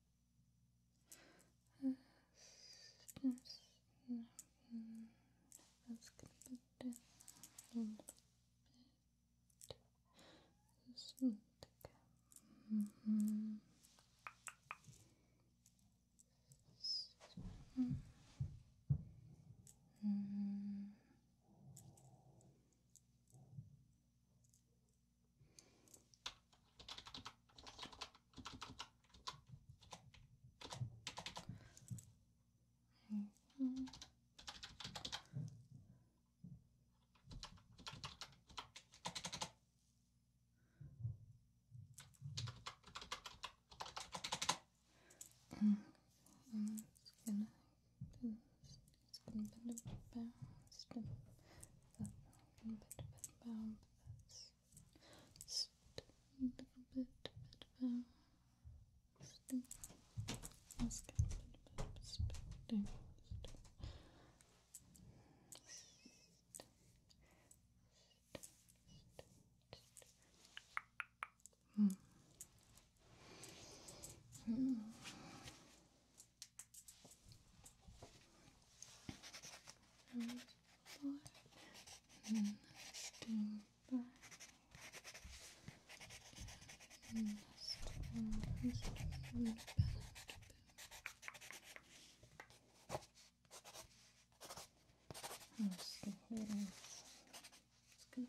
that's gonna put down a little bit. Just mm Mm -hmm. Mm mm-hmm. -hmm. I'm just gonna bounced, it's been bit of bounced, and that been bit of bound, but that's just a little bit, bit bounced, and that's been a bit of spitting. Mm. Mm and forward, and let's do back, and let's do, let's do back. And let's do here, it's gonna be Okay.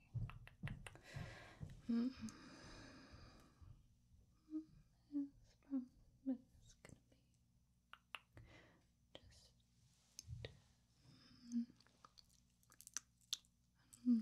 Mm -hmm. It's from gonna be just mm,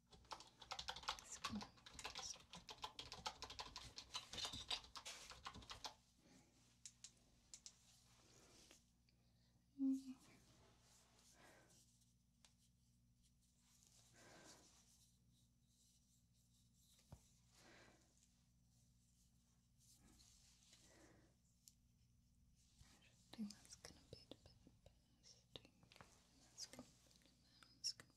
I think that's gonna be a bit interesting. That's gonna be, that's gonna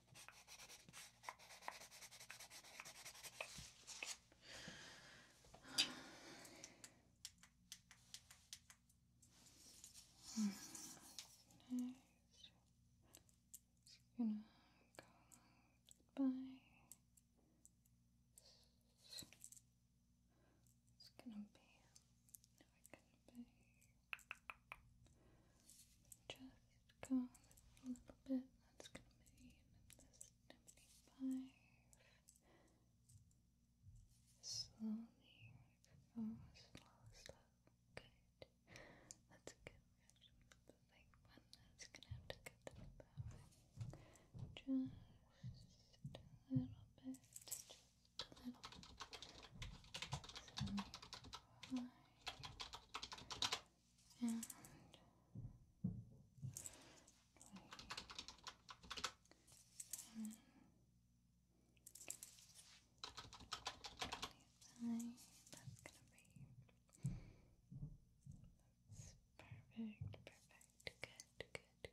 Mm, nice. It's gonna go by. It's gonna be. Just go a little bit. That's gonna be this seventy-five. Slowly, oh, slow, slow. Good. That's a good one that's gonna have to get to the power. Just a little bit. Just a little and 27, perfect, perfect, good, good, good, good, good, good.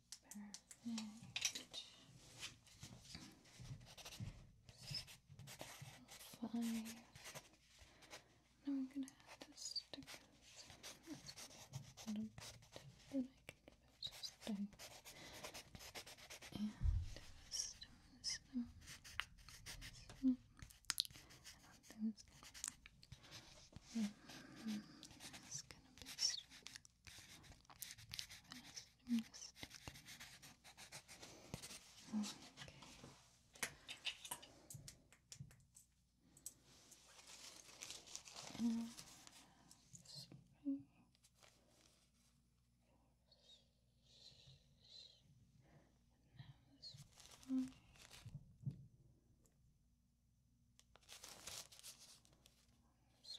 Perfect. Five. Now I'm gonna add the stickers. then I can give it a stone. And a stone, a stone, a stone. And on those. Mm -hmm. It's gonna be straight. I'm just taking... okay. And three. Now this one. This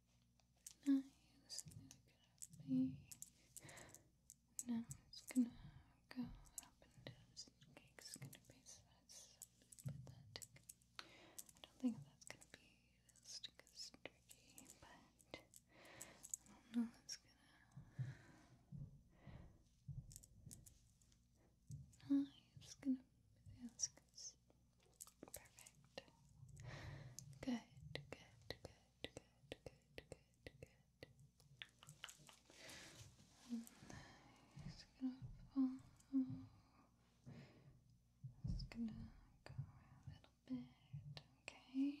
nice and gonna be now it's gonna go up and down so the gonna be so I don't think that's gonna be as tricky but I don't know it's gonna nice gonna be as good Perfect. Good, good, good, good, good, good, It's gonna follow. It's gonna go a little bit, okay?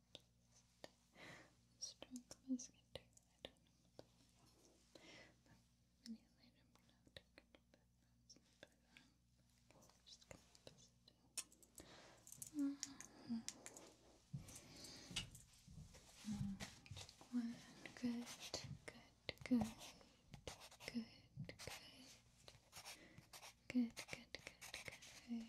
I don't know what to have One good, good, good, good, good, good, good, good, good.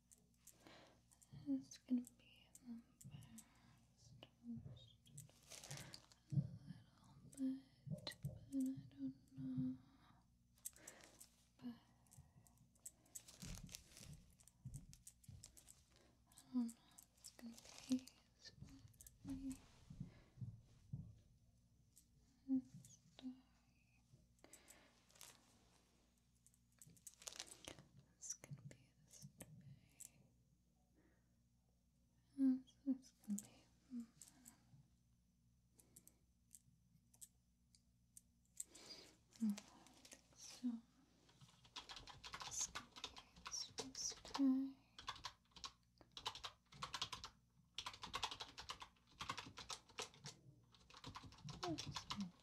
It's gonna be the best a little bit, but I don't know. But I don't know if it's gonna be split and stuff. It's gonna be this way. it's gonna be. Hmm. I think so. It's gonna be this, way.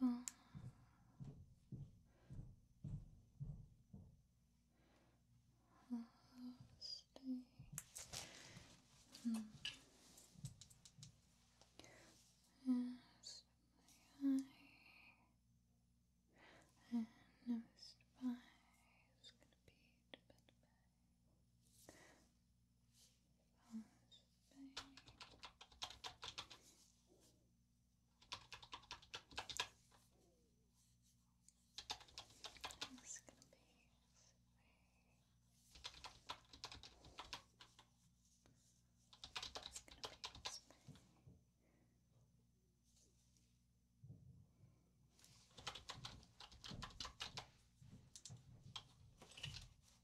Well, Hmm. Yes, my eye. And noticed by is gonna be to it's gonna be it's gonna be this way. It's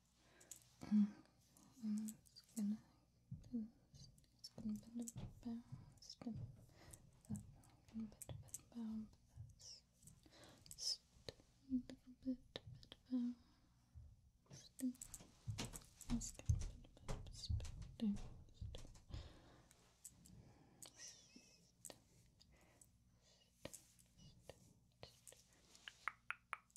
Mm. And it's gonna, it's gonna bend and bounce. That's gonna bend and bounce. That's just a little bit, bit bounce. That's gonna bend and bounce. Bounce.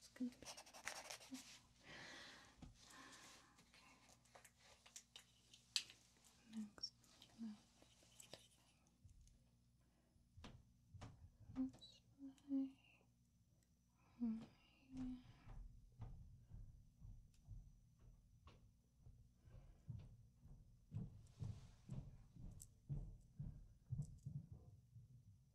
It's gonna be Next, next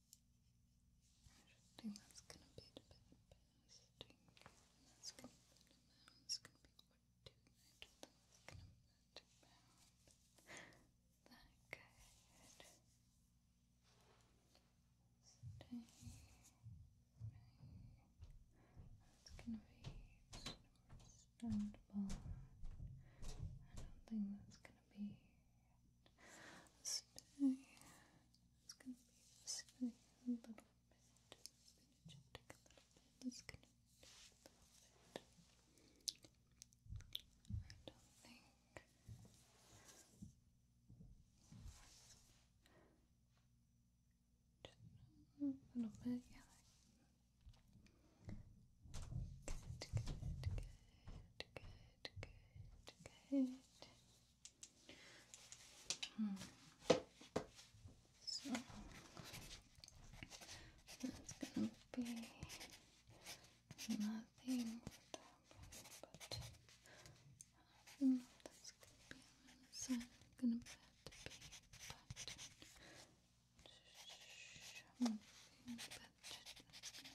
I think that's gonna be a bit embarrassing. That's going that's gonna be what do I do that's gonna be about that good. Stay That's gonna be understandable. I don't think that's gonna be stay it's gonna be a little bit. It's gonna take a little bit. It's gonna a little bit. I don't think just a little bit, yeah. Good, good, good, good, good, good. Hmm. So that's gonna be nothing but I don't that's gonna be gonna have to be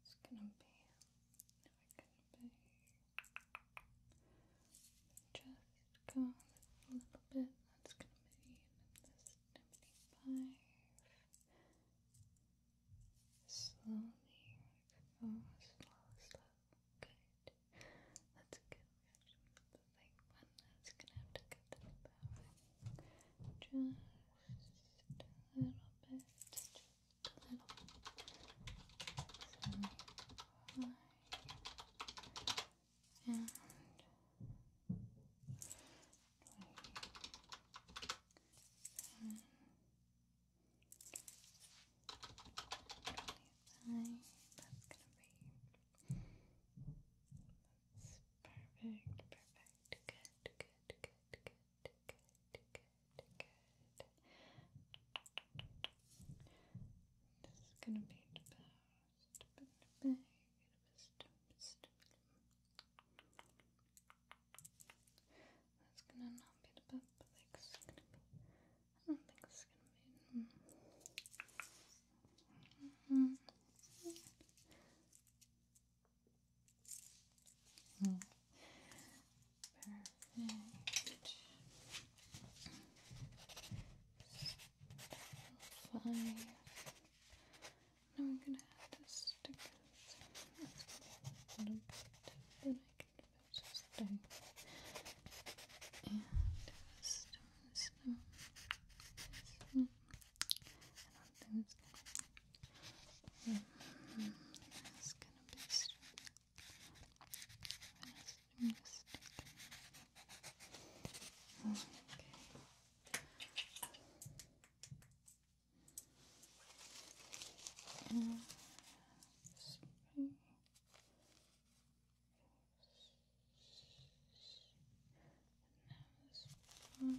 It's gonna be, it's gonna be just a little bit. That's gonna be this seventy-five. Slowly, oh, slow, slow. Good. That's a good reaction. The big one that's gonna have to go to the power. Just a little bit little so and that's gonna be perfect perfect good good good good this is gonna be about a bit That's gonna not be the bit, like I don't think it's gonna be. Mm-hmm. Mm. Perfect. five. Now I'm gonna add the stickers. That's a I can just done. And stone, stone, stone, and on those. Mm -hmm. It's gonna be Okay. And spring. And now this one.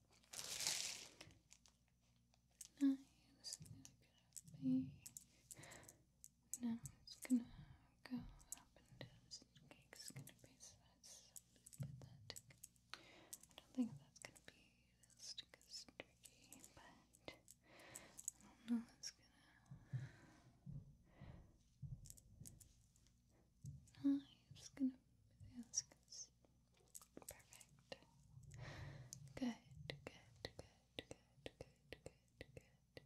Now it's gonna be. Now it's gonna go up and down. cake's gonna be so but that. I don't think that's gonna be as tricky, but I don't know. It's gonna. I'm just gonna ask. Perfect. Good, good, good, good, good, good,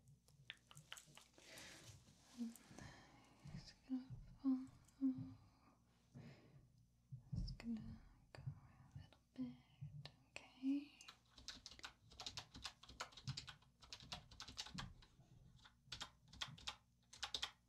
And I'm gonna follow. Just gonna go a little bit, okay.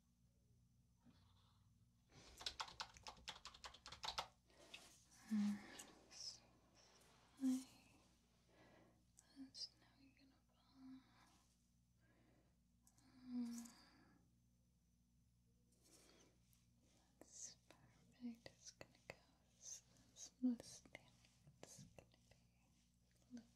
And That's now you gonna fall. Um, that's perfect. It's gonna go. This, this, it's gonna be let you one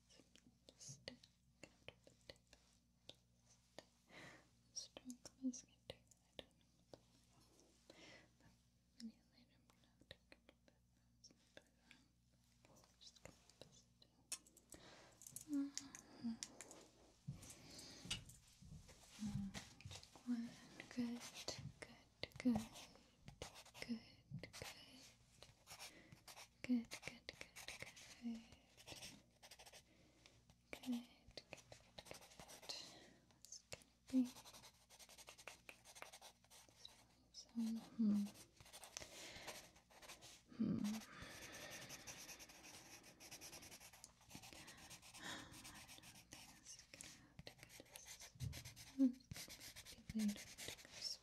good, good, good, good, good. Good, good, good, good. Good, good, good, good. That's gonna be some hmm. Hmm. I don't think it's gonna have to go to this. It's gonna be later to go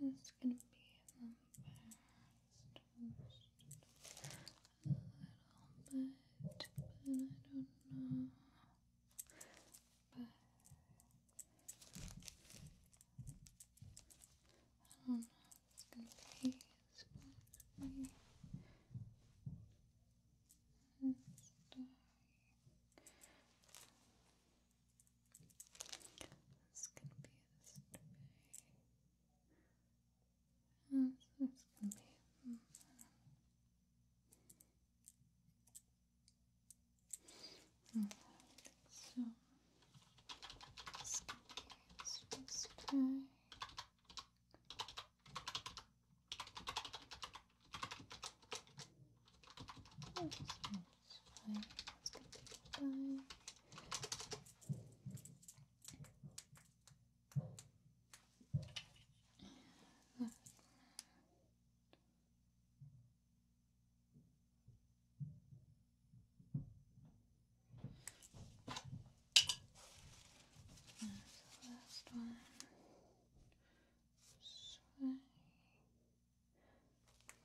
It's gonna be the best a little bit, but I don't know. But I don't know if gonna be it's to be and stuff it's gonna be this way. And so gonna be. Mm, so. It's gonna be this way. Oh, fine. Let's get the time. There's the last one sway,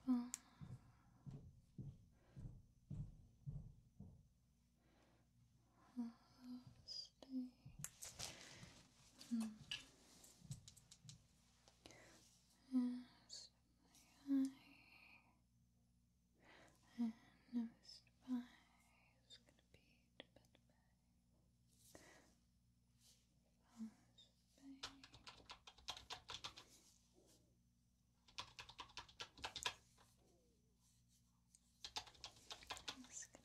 fall, stay. Mm. As my and noticed by is gonna be to bed and this is going to be this way. It's going to be this way.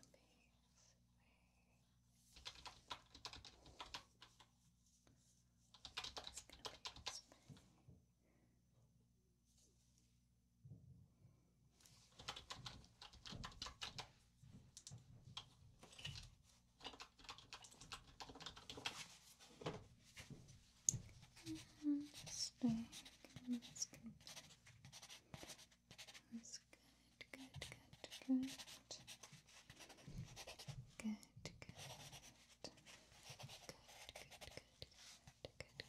Okay. And stack. good. That's good, good, good, good. Good, good. Good, good, good, good, good,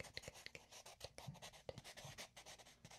good, good, good, good, good.